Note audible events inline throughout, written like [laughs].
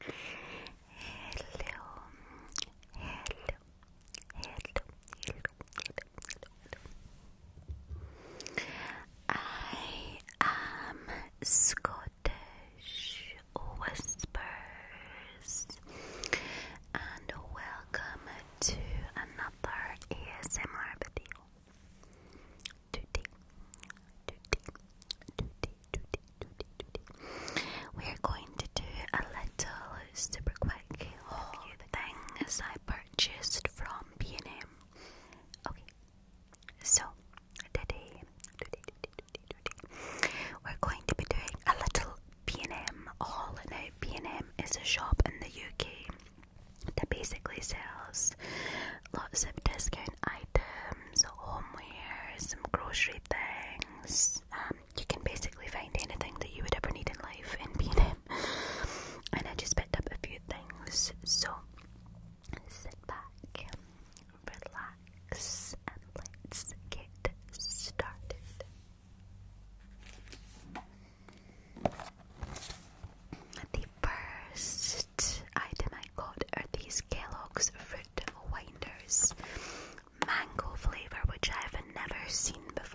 hello, hello, hello, hello. I am Scottish Whispers, and welcome to another ASMR video. Today, today, today, we are going to do a little super quick haul as I purchased from B&M. Okay, so today, we're going to be doing a little B&M haul. Now, B&M is a shop in the UK that basically sells lots of discount design items, homeware, some grocery things. Um, you can basically find anything that you would ever need in life in B&M. [laughs] and I just picked up a few things, so sit back, relax, and let's get started. The first next item I got are these Kellogg's Fruit Winders mango flavor, which I have never seen before.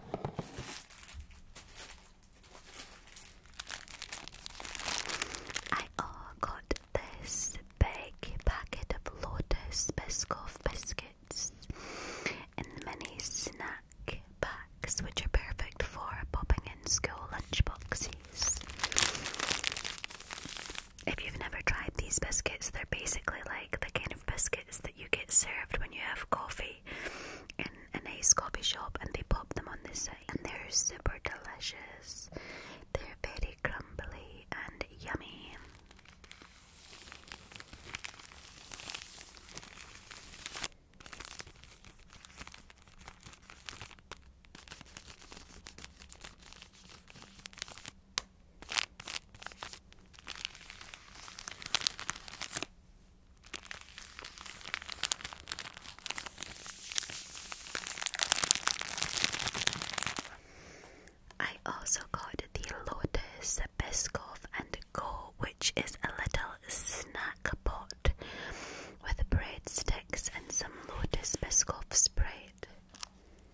I all oh, got this big packet of Lotus Biscoff biscuits in mini snack packs, which are perfect for popping in school lunchboxes. If you've never tried these biscuits, they're basically like the kind of biscuit biscuits that you get served when you have coffee in a nice coffee shop, and they pop them on this side, and they're super delicious. They're very crumbly and yummy. I also got the Lotus Biscoff and Go, which is a little snack pot with breadsticks and some Lotus Biscoff spread.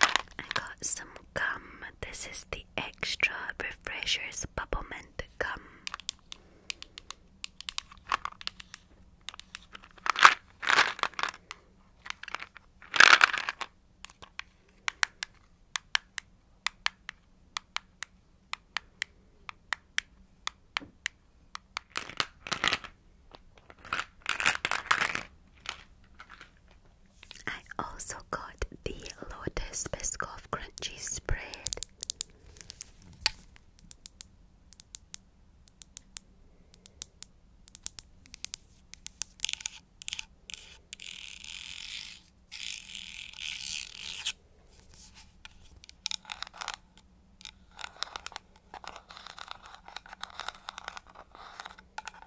I got some gum. This is the Extra Refreshers Bubble Mint Gum. I also got the Lotus Biscoff Crunchy Spread.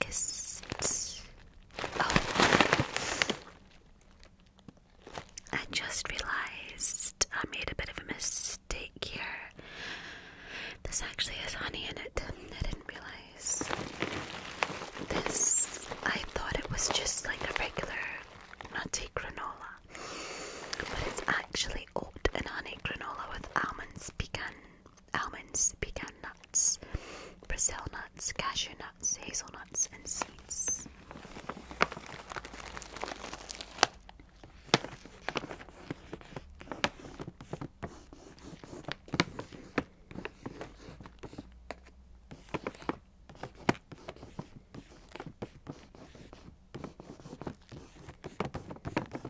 Next. Oh. I just realized I made a bit of a mistake here. This actually has honey in it. I didn't realize. This, I thought it was just like a regular nutty granola, but it's actually oat and honey granola with almonds pecan, almonds, pecan nuts, Brazil nuts, cashew nuts, hazelnuts, and seeds.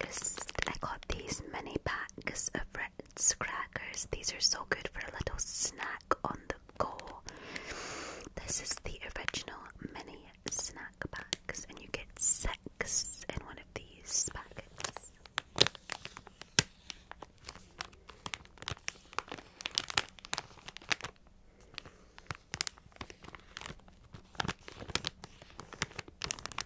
I got these mini packs of Ritz crackers. These are so good for a little snack on the go. This is the original mini snack packs, and you get six in one of these packets.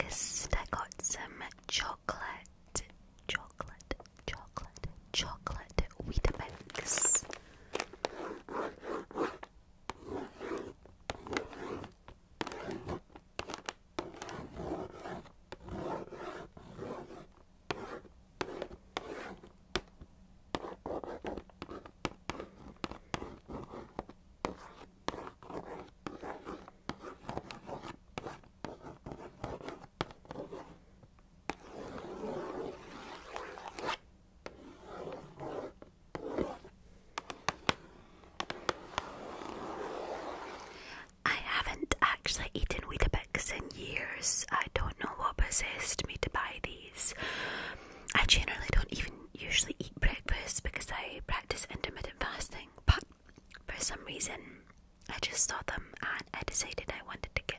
Next, I got some chocolate, chocolate, chocolate, chocolate wheat mix. I haven't actually eaten Weetabix in years. I don't know what possessed me to buy these. I generally don't even usually eat breakfast because I practice intermittent fasting, but for some reason I just saw them and I decided I wanted to get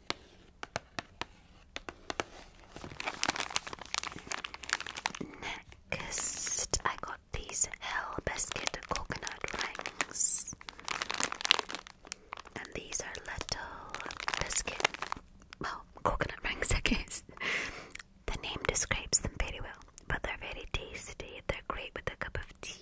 Next, I got these Hell Biscuit Coconut Rings. And these are little biscuit, well, coconut rings, [laughs] I guess. the name describes them very well, but they're very tasty. They're great with a cup of tea.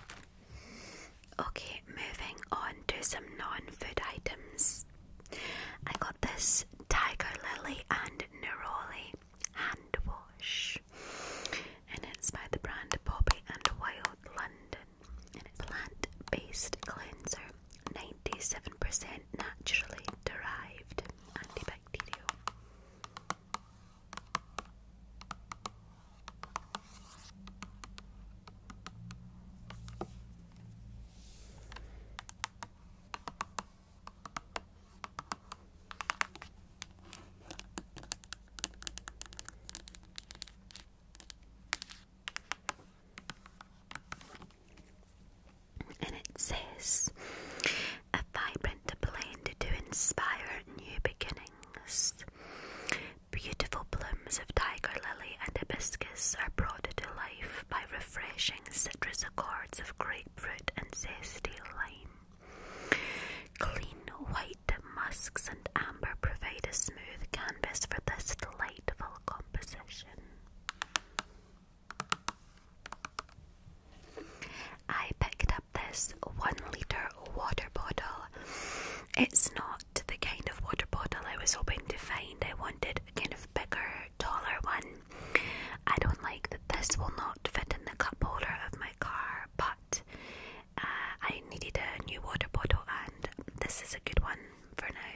Okay, moving on to some non food items. I got this tiger lily and neroli hand wash, and it's by the brand Bobby and Wild London, and it's plant based cleanser, 97% naturally derived antibacterial. And it says a vibrant print a to inspire new beginnings. Beautiful blooms of tiger lily and hibiscus are brought to life by refreshing citrus accords of grapefruit and zesty lime. Clean white musks and amber provide a smooth canvas for this delightful composition. I picked up this one litre water bottle. It's not the kind of water bottle I was hoping to find. I wanted a kind of bigger, taller one. I don't like that this will not fit in the cup holder of my car, but uh, I needed a new water bottle, and this is a good one for now.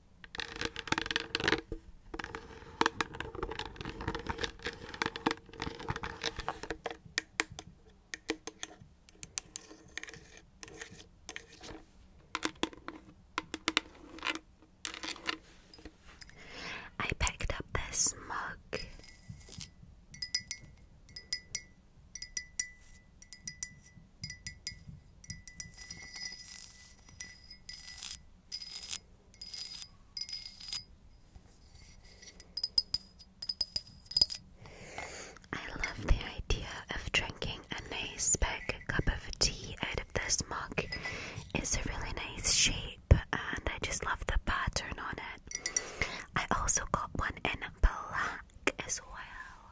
I picked up this mug. I love the idea of drinking a nice big cup of tea out of this mug. It's a really nice shape and I just love the pattern on it. I also got one in black as well.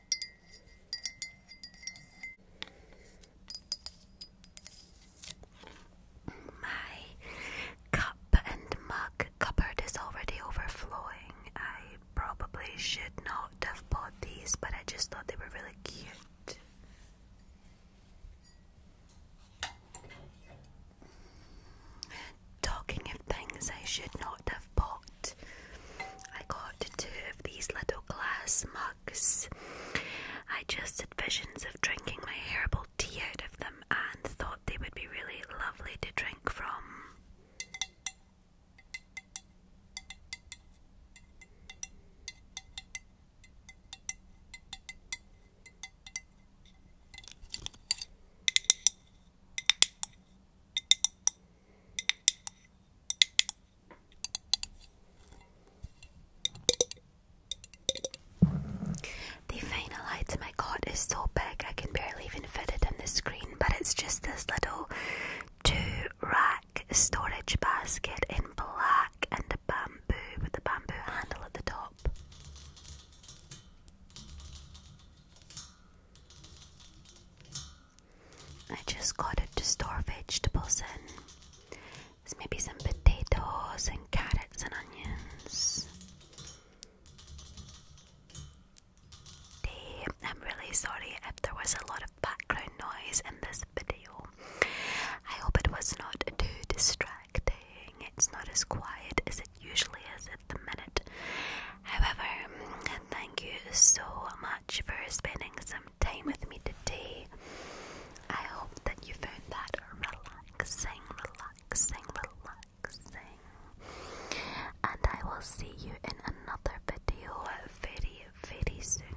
My cup and mug cupboard is already overflowing. I probably should not have bought these, but I just thought they were really cute. Talking of things I should not have bought, I got two of these little glass mugs. I just had visions of drinking my herbal tea out of them and thought they would be really lovely to drink from. The final item I got is so big I can barely even fit it in the screen, but it's just this little two rack storage basket in black and bamboo with a bamboo handle at the top. I just got it to store vegetables in. There's maybe some potatoes and carrots and onions. Damn, I'm really sorry if there was a lot of background noise in this video. I hope it was not too distracting. It's not as quiet as it usually is at the minute. However, thank you so much for spending some some time with me today. I hope that you found that relaxing, relaxing, relaxing. And I will see you in another video very, very soon.